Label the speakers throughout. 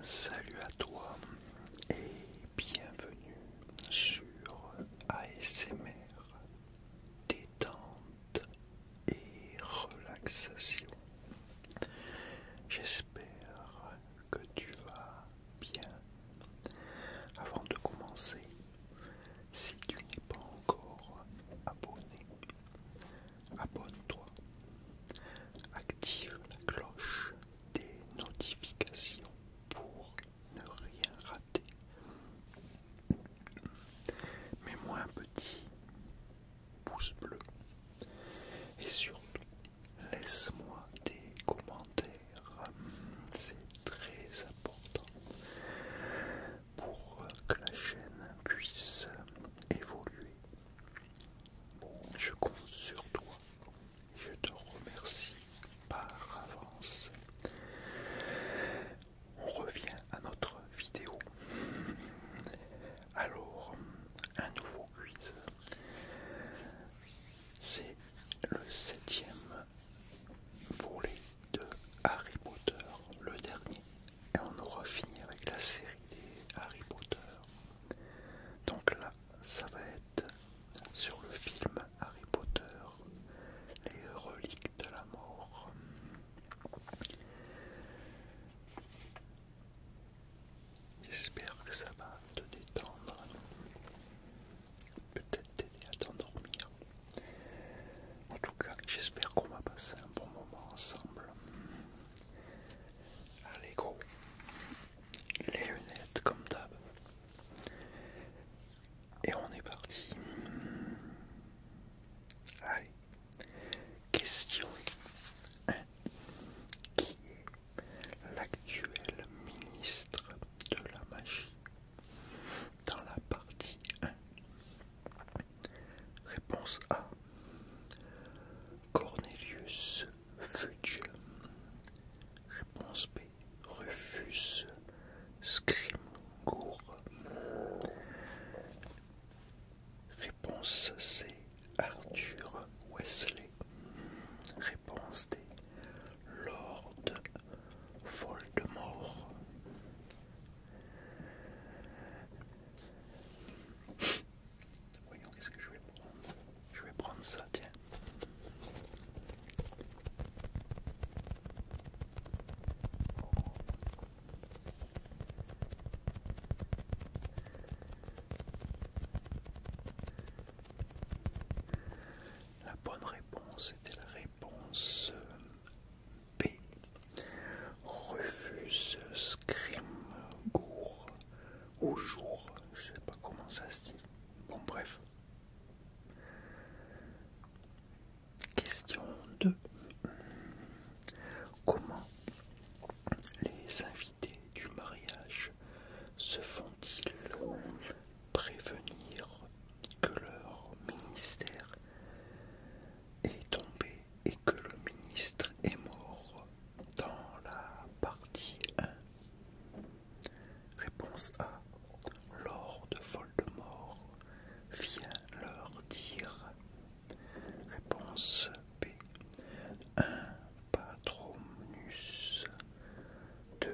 Speaker 1: Salut à toi et bienvenue sur ASMR détente et relaxation. J'espère que tu vas bien. Avant de commencer, si tu n'es pas encore abonné, abonne-toi. Active la cloche des notifications pour ne rien rater. Mets-moi un petit pouce bleu. Et surtout, laisse-moi des commentaires. C'est très important pour que la chaîne puisse évoluer je compte sur toi. Je te remercie par avance. On revient à notre vidéo. Alors, un nouveau quiz. C'est le septième volet de Harry Potter, le dernier et on aura fini avec la série des Harry Potter. Donc là, ça va être sur le film Harry Potter, les reliques de la mort. J'espère que ça va te détendre, peut-être t'aider à t'endormir. En tout cas, j'espère qu'on va passer un bon moment ensemble. Allez gros, les lunettes comme d'hab. Et on est parti. Allez, question 1. Qui est l'actuel ministre de la magie dans la partie 1 Réponse A. Cornelius Fudge. Réponse B. Rufus Scrimgour. Réponse C. Arthur Wesley. Réponse D. Lord Voldemort. Voyons, qu'est-ce que je vais prendre Je vais prendre ça, tiens. La bonne réponse était la réponse euh, B. Refuse Scream Gour au jour, je sais pas comment ça se dit. Bon, bref. Question 2. Comment les invités du mariage se font-ils prévenir que leur ministère est tombé et que le ministre est mort dans la partie 1 Réponse A. Lord Voldemort vient leur dire. Réponse B. Un patronus de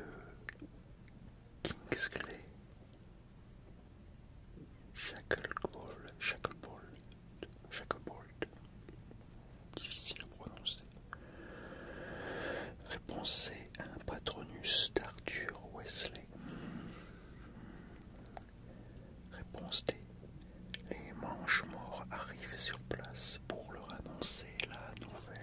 Speaker 1: Kingsley. chaque Bolt, Difficile à prononcer. Réponse C, un patronus d'Arthur Wesley. Réponse D, les manches morts arrivent sur place pour leur annoncer la nouvelle.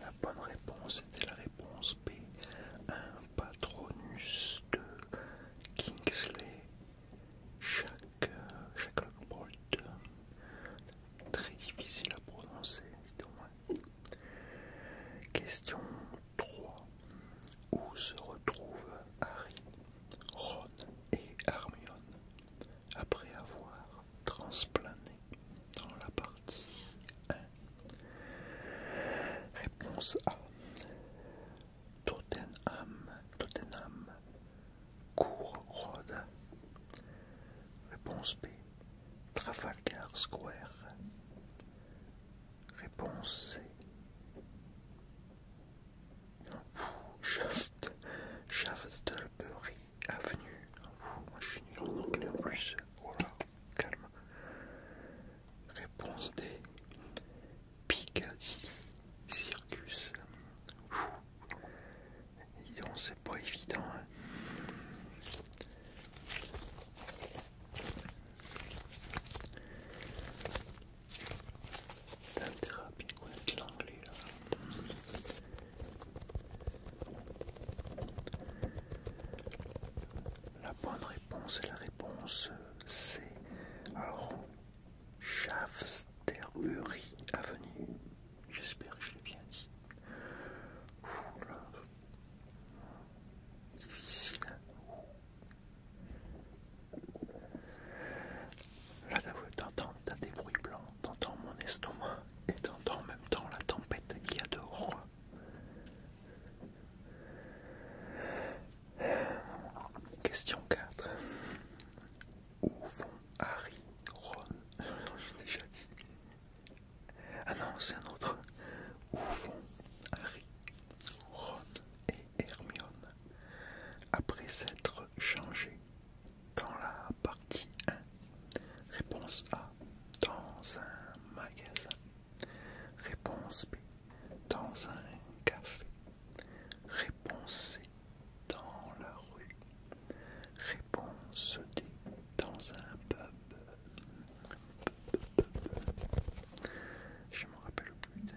Speaker 1: La bonne réponse était la réponse B, un patronus de Kingsley chaque, euh, chaque très difficile à prononcer, Question 3. Où se retrouvent Harry, Ron et Armion après avoir transplané dans la partie 1 Réponse A. Tottenham, Tottenham, cour road Réponse B, Trafalgar Square. Réponse C. Shaft, Shaftesbury Avenue. je en anglais Réponse D. Piccadilly Circus. c'est pas évident. Hein. T'as intérêt à l'anglais là. La bonne réponse est la réponse euh, C. Alors, Shaftesbury Avenue. J'espère que je l'ai bien dit. Difficile. là. Difficile. Hein. Là, t'entends, des bruits blancs, t'entends mon estomac et t'entends en même temps la tempête qui y a dehors. Question 4. Où vont Harry, Ron déjà dit. Ah non, c'est un autre. Où Harry, et Hermione après s'être changés dans la partie 1 Réponse A. Dans un magasin. Réponse B dans un café. Réponse dans la rue. Réponse dans un pub. Je me rappelle plus. but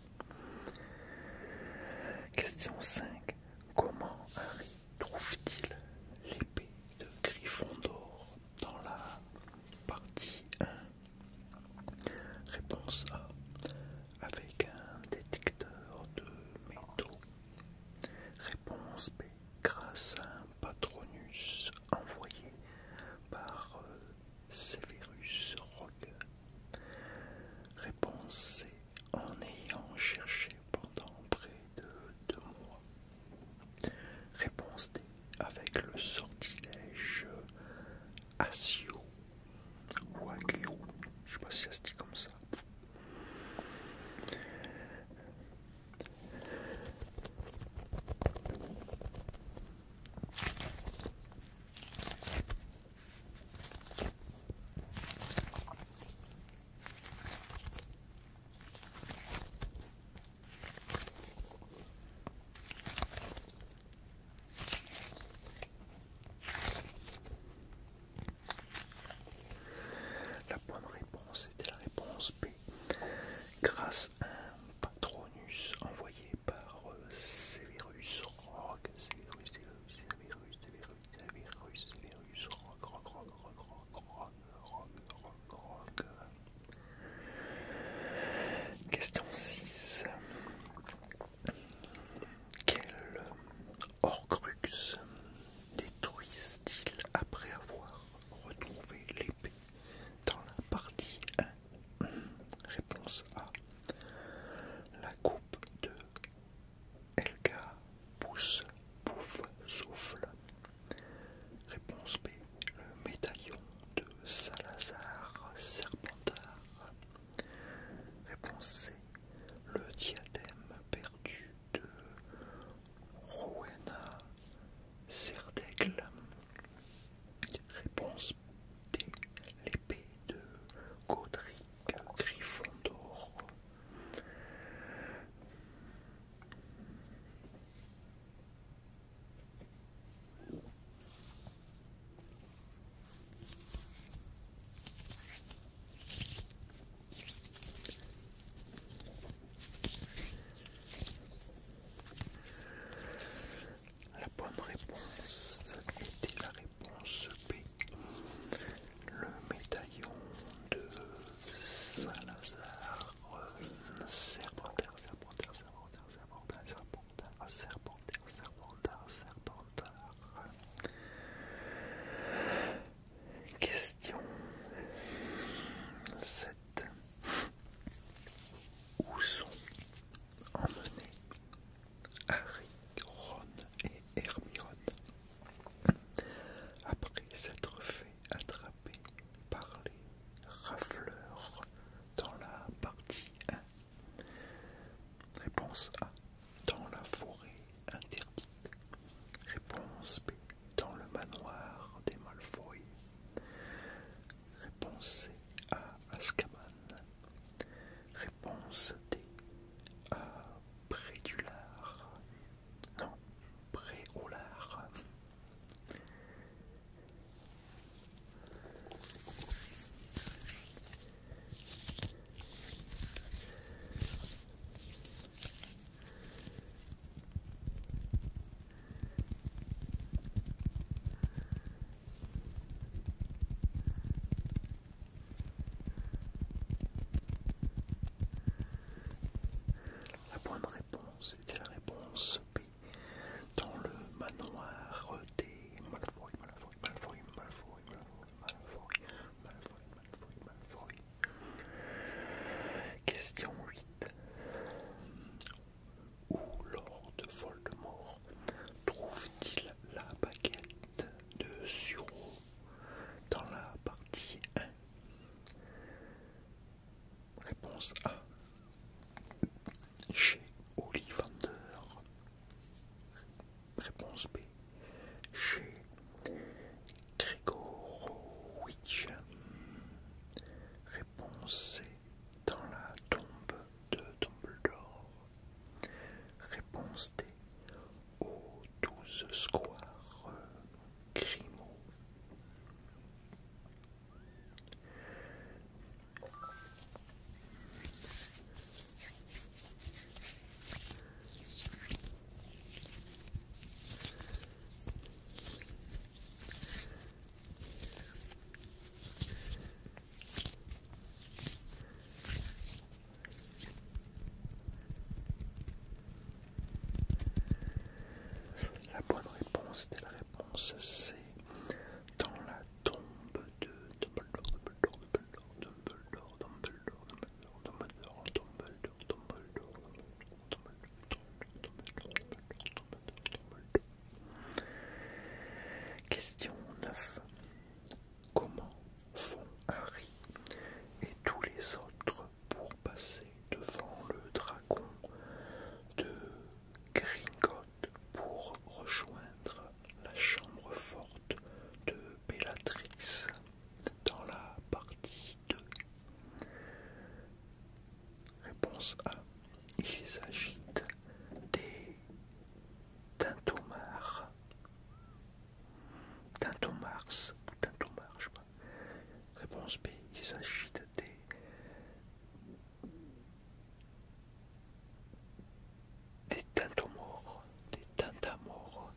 Speaker 1: Question 5. Comment Harry trouve-t-il l'épée de Gryffondor dans la partie 1 Réponse A. Avec un détecteur de métaux. Réponse B. Grâce à un patronus envoyé par euh, virus Rogue Réponse C. En ayant cherché pendant près de deux mois. Réponse D. Avec le sortilège Asio ou Je sais pas si ça se dit comme ça. La bonne réponse était la réponse B. Grâce à un Tronus envoyé par euh, Severus Rogue, Severus, Severus, Severus, Severus, Severus, Severus Rogue, Rogue, Rogue, Rogue, Rogue, Rogue, Rogue, Rogue, Question 6. Quel Horcrux détruisent il après avoir retrouvé l'épée dans la partie 1 Réponse A. La coupe de Elga pousse, pouffe souffle. Réponse B. Le médaillon de Salazar Serpentard. Réponse C. Le diadème perdu de Rowena Serdegle. Réponse des L'épée de Godric Gryffondor. La bonne réponse était la réponse B. Le médaillon de Salazar euh, Serpentard, Serpentard, Serpentard, Serpentard, Serpentard, Serpentard, Serpentard. Question 7. Où sont emmener Harry, Ron et Hermione après s'être fait attraper par les rafleurs dans la partie 1. Réponse A. Dans la forêt interdite. Réponse B. Dans le manoir des Malfoy. Réponse C. À Ascaman Réponse D. Euh, lard. Non, lard. La bonne réponse était la réponse B dans le manoir des Question 8. Où Lord Voldemort trouve-t-il la baguette de Suro dans la partie 1 Réponse A. Chez Ollivander. Réponse B. Chez Gregorowicz. Réponse C. Dans la tombe de Dumbledore. Réponse D aux douze squares Grimaud. La bonne réponse était la réponse C. Dans la tombe de Dumbledore, Dumbledore, Dumbledore, Dumbledore, Dumbledore, Dumbledore, Dumbledore, Dumbledore, Dumbledore, Dumbledore, Question 9. Comment font Harry et tous les autres pour passer devant le dragon de Gringot pour rejoindre la chambre forte de Bellatrix dans la partie 2 Réponse A. Il agitent des tintomars. Tintomars ou tintomars, je sais pas. Réponse B. Il s'agit des des tintomores, des tintamores.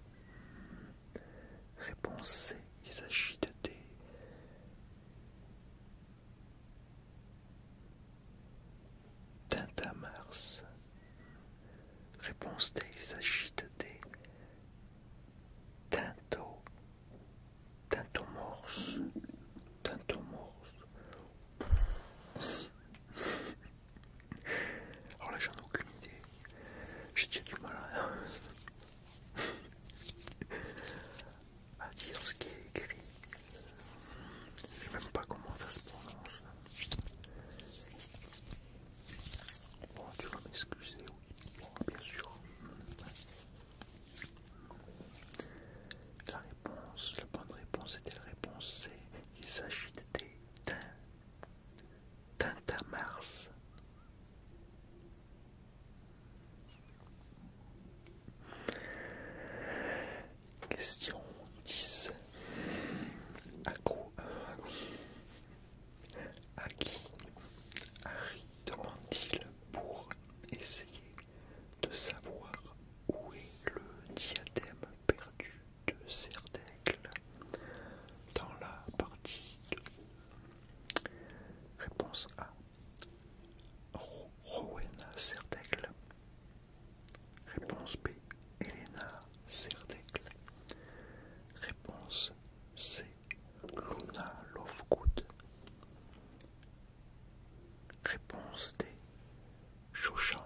Speaker 1: Réponse C. Il s'agit des Tintamars. Réponse T, Il s'agit des tinto, tintomorse, Morse Alors là, j'en ai aucune idée. J'ai déjà du mal à. à bah, dire ce qui est écrit. Je sais même pas comment ça se prononce. Bon, tu vas m'excuser, oui. bien sûr. La réponse, la bonne réponse était la réponse C. Il s'agit des tintamars. Question 10. À À qui Harry demande-t-il pour essayer de savoir où est le diadème perdu de Cerdecle dans la partie 2 Réponse A. Rowena Serdaigle. Réponse B. Elena Serdaigle. Réponse C. Luna Lovegood. Réponse D. Chouchang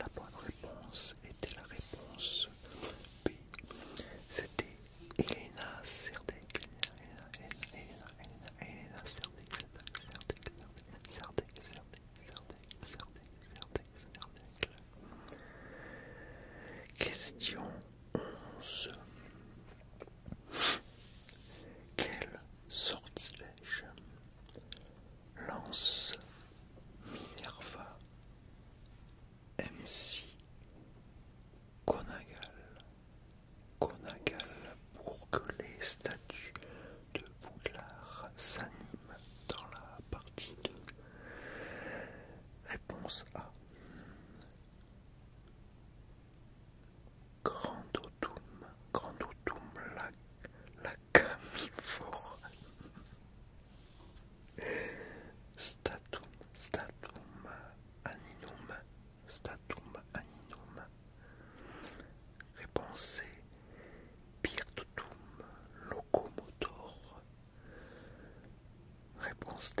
Speaker 1: la bonne réponse était la réponse B. C'était Elena Elena, Elena, Elena, Elena Question 11. Quel sortilège lance Minerva MC Conagal. Conagal pour que les statues de Boudlard s'animent dans la partie 2. Réponse A. Grand autumn, grand autumn, la, la Statum, statum aninum, statum aninum. Réponse Pirtum locomotor. Réponse D.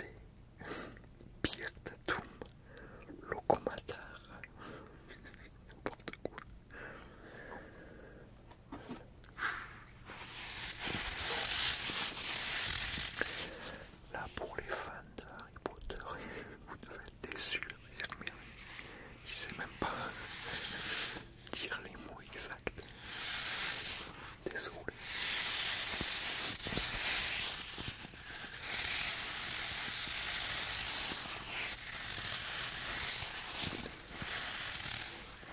Speaker 1: Pirtatum locomatar. Là, pour les fans d'Harry Potter, vous devez être déçus. Hermione, il sait même pas dire les mots exacts. Désolé.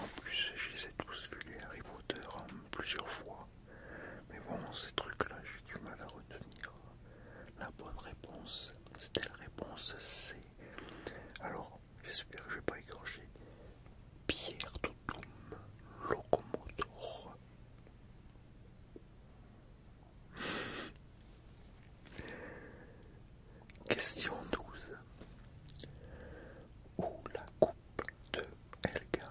Speaker 1: En plus, je les ai tous vu les Harry Potter plusieurs fois. Mais bon, ces trucs-là, j'ai du mal à retenir. La bonne réponse, c'était la réponse C. Alors, j'espère que je vais pas écorcher. Pierre tout locomotor. Question 12. Où la coupe de Elga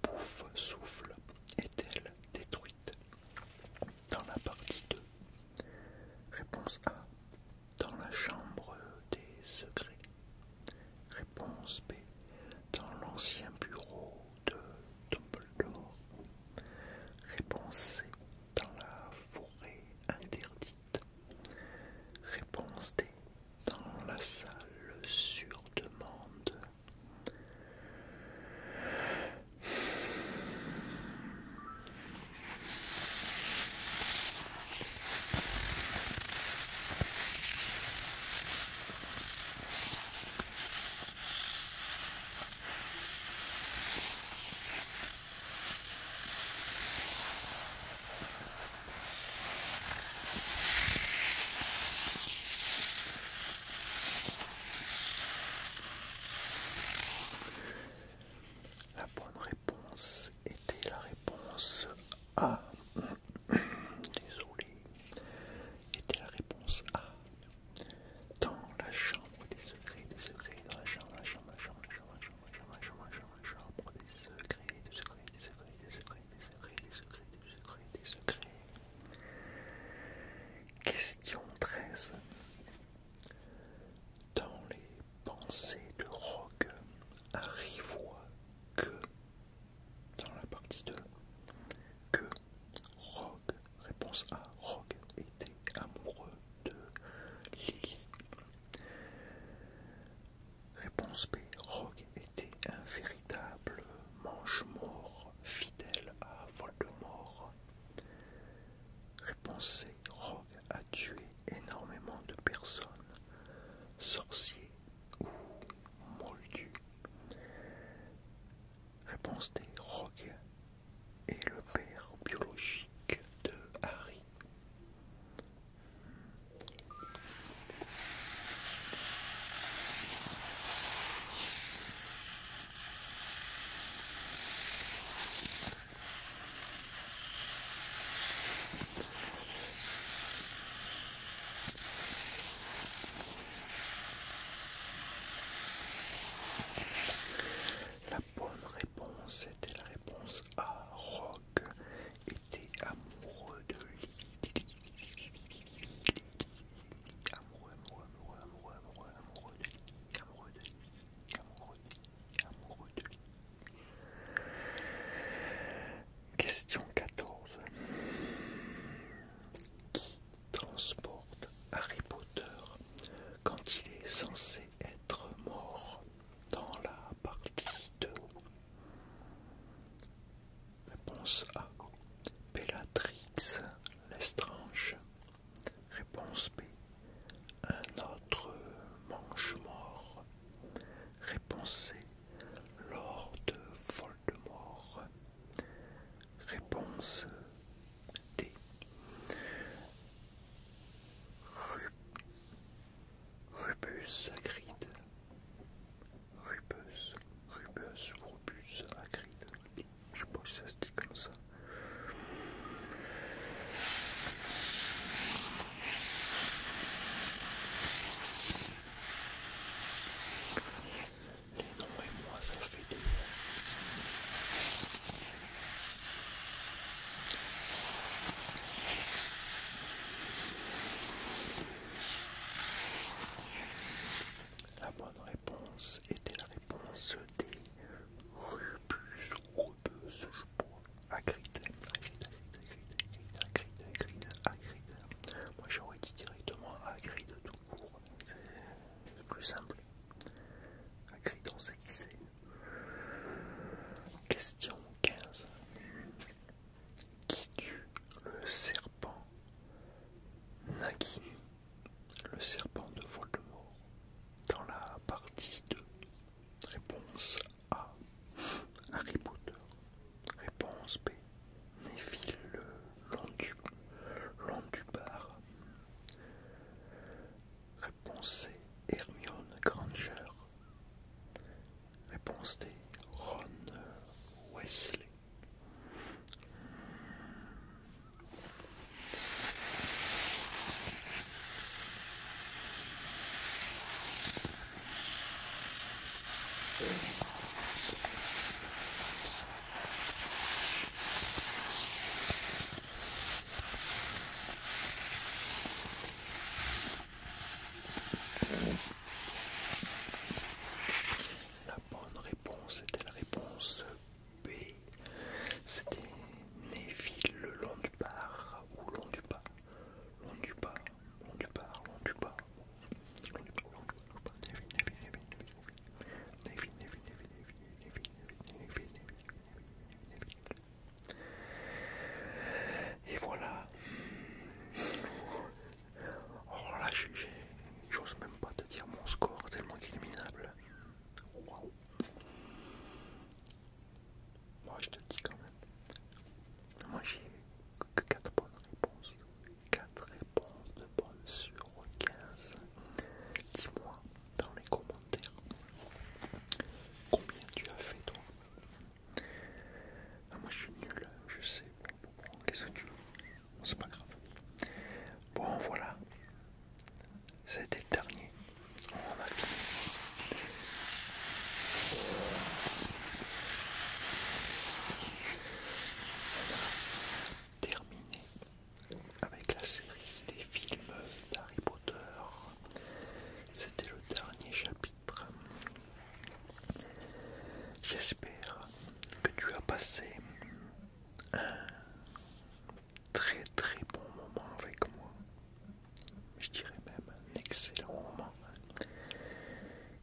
Speaker 1: pouf Souffle est-elle détruite dans la partie 2 Réponse A. Dans la chambre des secrets. Réponse B. Dans l'ancien bureau de Dumbledore. Réponse C. Dans la forêt interdite. Réponse D dans la salle sur demande. La bonne réponse était la réponse A. Désolé, était la réponse A. Dans la chambre des secrets, des secrets, dans la chambre, la chambre, la chambre, la chambre, la chambre chemin, chemin, chemin, pour des secrets, des secrets, des secrets, des secrets, des secrets, des secrets, des secrets, des secrets. Question 13. Dans les pensées de Rogue, Harry voit que, dans la partie 2, que Rogue, réponse A, Rogue était amoureux de Lily. Réponse B. Rogue était un véritable manche mort fidèle à Voldemort. Réponse C. Rogue a tué énormément de personnes, sorciers ou moldus. Réponse D. Rogue est le père biologique de Harry. La bonne réponse était la réponse A. Rogue était amoureux de lui. Amoureux, amoureux, amoureux, amoureux, amoureux, amoureux de lui. Amoureux de lui. Amoureux de lui. Question 14. Qui transporte Harry Potter quand il est censé être mort dans la partie Réponse A. Bellatrix Lestrange. Réponse B. Un autre manche mort. Réponse C. Lord Voldemort. Réponse D. Rubus acride. Rubus, Rubus, Rubus acride. Je sais pas si ça se dit comme ça. Les noms et moi ça fait des... La bonne réponse était la réponse des rubus, rubus, je à Agrid, Agrid, Agrid, Agrid, Agrid, Moi j'aurais dit directement Agrid tout court, c'est plus simple. Agrid, on sait qui c'est. Question 15 qui tue le serpent Nagui, le serpent de Voldemort, dans la partie 2. Réponse A. Harry Potter. Réponse B. Neville Londubar. Réponse C. Hermione Granger. Réponse des Ron Wesley. La bonne réponse était la réponse B. C'était Neville le long du bar ou long du Long du pas, long du long du et voilà. Oh là, j'ose même pas te dire mon score, tellement qu'il est Waouh! Moi, je te dis quand même. Moi, j'ai que 4 bonnes réponses. 4 réponses de bonnes sur 15. Dis-moi dans les commentaires combien tu as fait, toi? Ah, moi je suis nul, je sais. Bon, bon, Qu'est-ce que tu veux C'est pas grave. Bon, voilà. C'était le dernier. On a On a terminé avec la série des films d'Harry Potter. C'était le dernier chapitre. J'espère que tu as passé un très très bon moment avec moi. Je dirais même un excellent moment.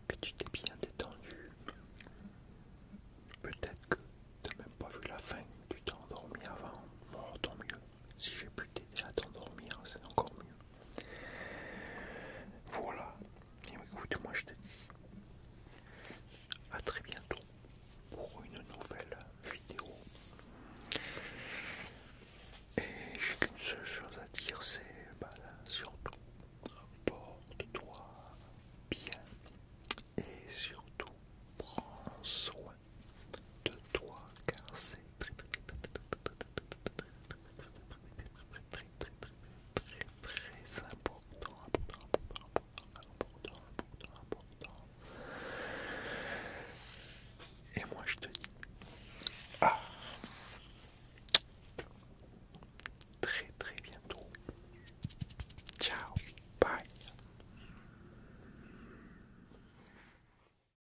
Speaker 1: Que tu t'es bien détendu. Peut-être que tu n'as même pas vu la fin, tu t'es endormi avant. Bon, tant mieux. Si j'ai pu t'aider à t'endormir, c'est encore mieux. Voilà. écoute, moi je te dis à très bientôt pour une nouvelle vidéo. Et j'ai qu'une seule chose à dire, c'est bah, surtout porte-toi bien et surtout prends soin de toi car c'est très très très très très très Et moi je te dis, ah, très très bientôt. Ciao, bye.